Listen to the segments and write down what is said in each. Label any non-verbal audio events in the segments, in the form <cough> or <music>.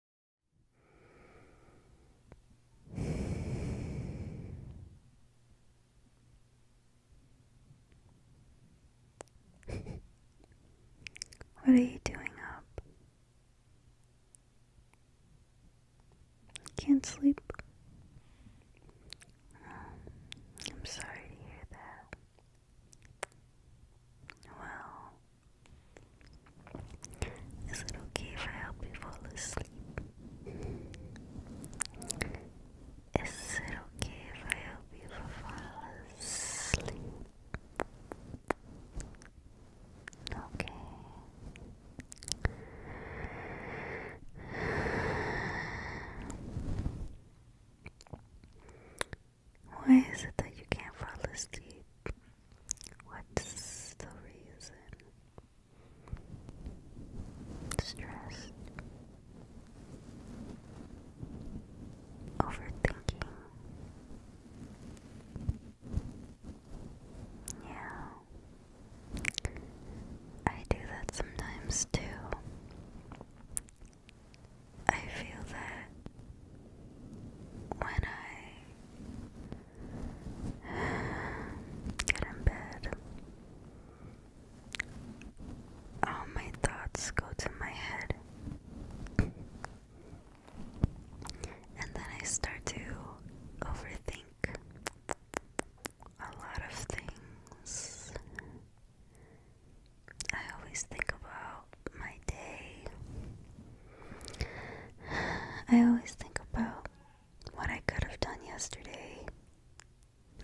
<laughs> what are you doing up? Can't sleep. Um, I'm sorry to hear that. Well, is it okay if help you fall asleep? Is it okay if help you fall asleep? Okay. Why is it that you can't fall asleep? What's the reason? Stressed. Overthinking. Yeah. I do that sometimes too. I feel that when I <sighs> get in bed, all my thoughts go to my head, and then I start to overthink a lot of things. I always think about my day. I always think about what I could have done yesterday.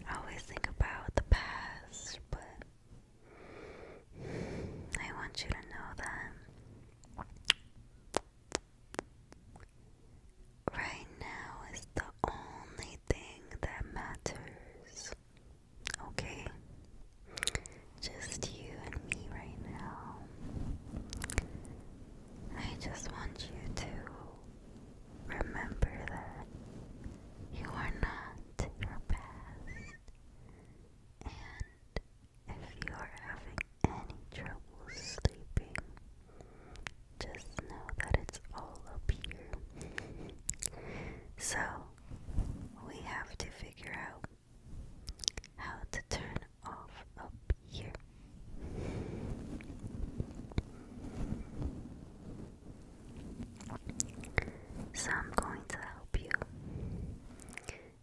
I always think about the past, but I want you to know that right now is the only thing that matters. Okay? Just you and me right now. I just want you to remember that you are not your past. And if you are having any trouble sleeping, just know that it's all up here. so, we have to figure out how to turn off up here. So I'm going to help you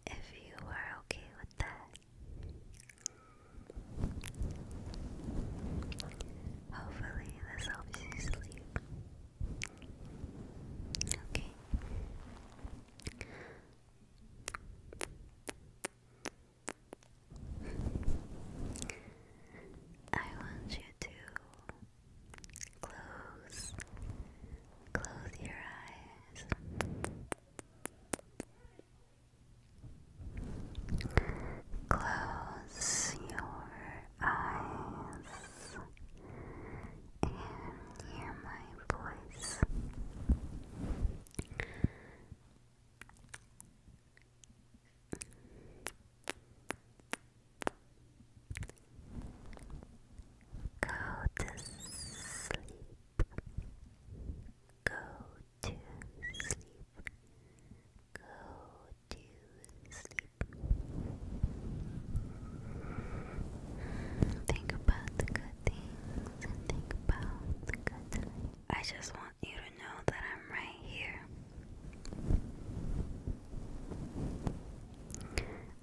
if you are okay with that. Hopefully, this helps you sleep. Okay. I want you to close close your eyes Close your eyes and hear my voice. Go to sleep. Go to sleep. Go to sleep. Think about the good things think about the good times. I just want you to know that I'm right here.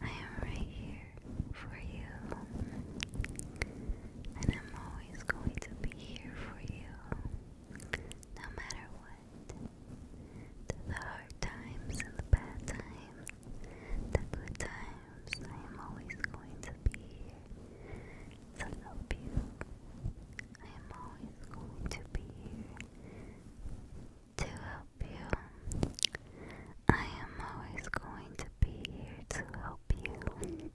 I am right here for you. And I'm always going to be here for you. No matter what. The hard times and the bad times the good times, I am always going to be here to help you. I am always going to be here to help you. I am always going to be here to help you.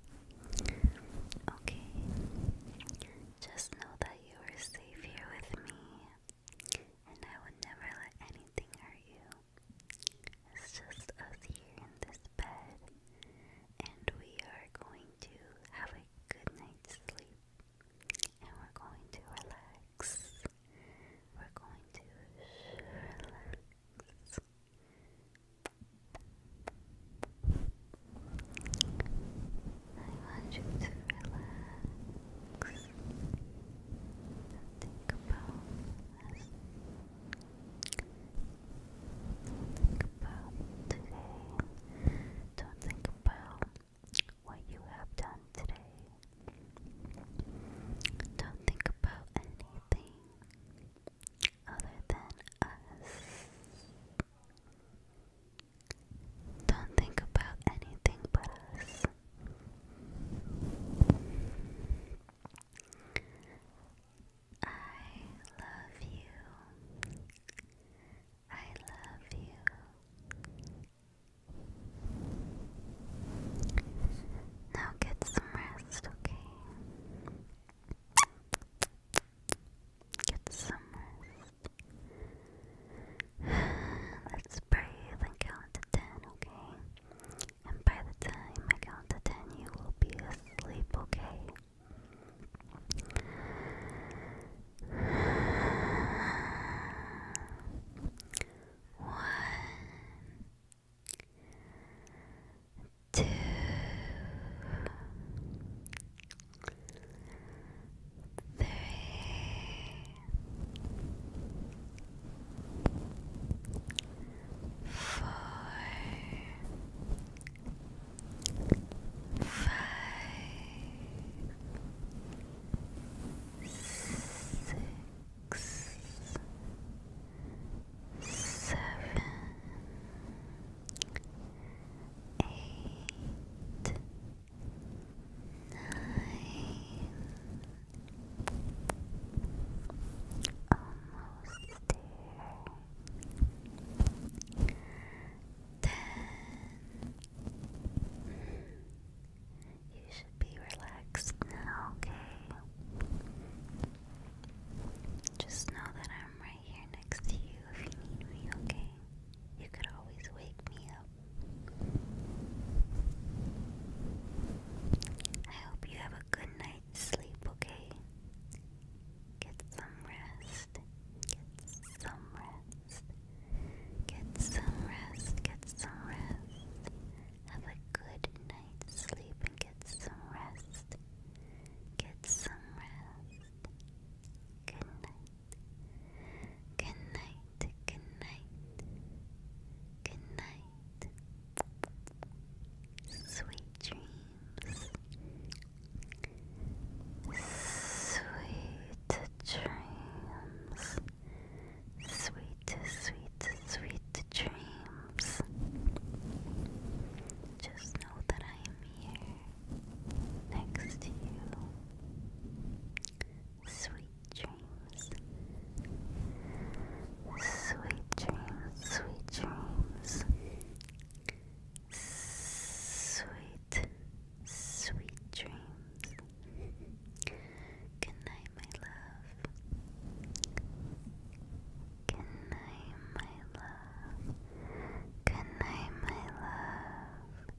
Okay, just know that you are safe here with me, and I would never let anything hurt you. It's just us here in this bed, and we are going to have a good night's sleep, and we're going to relax. We're going to relax. I want you to relax. Think about this. Think about today. Don't think about what you have done today. Don't think about anything other than us. Don't think about anything but us. I love you. I love you. Now get some rest, okay? Get some rest. <sighs> Let's breathe and count to ten, okay? And by the time I count to ten, you will be asleep, okay? <sighs> One, two, three, four, five, six, seven, eight, nine. Almost there. Ten. You should be relaxed now, okay? Just know that I'm right here next to you if you need me, okay? You could always wake me up I hope you have a good night's sleep, okay? Get some rest. Get some rest. Get some rest. Get some rest. Have a good night's sleep and get some rest. Get some rest. Good night. Good night good night, good night. Sweet dreams, sweet dreams, sweet, sweet, sweet dreams. Just know that I am here next to you. Sweet dreams. Sweet dreams, sweet dreams. Sweet, sweet dreams. Good night, my love. Good night, my love. Good night, my love.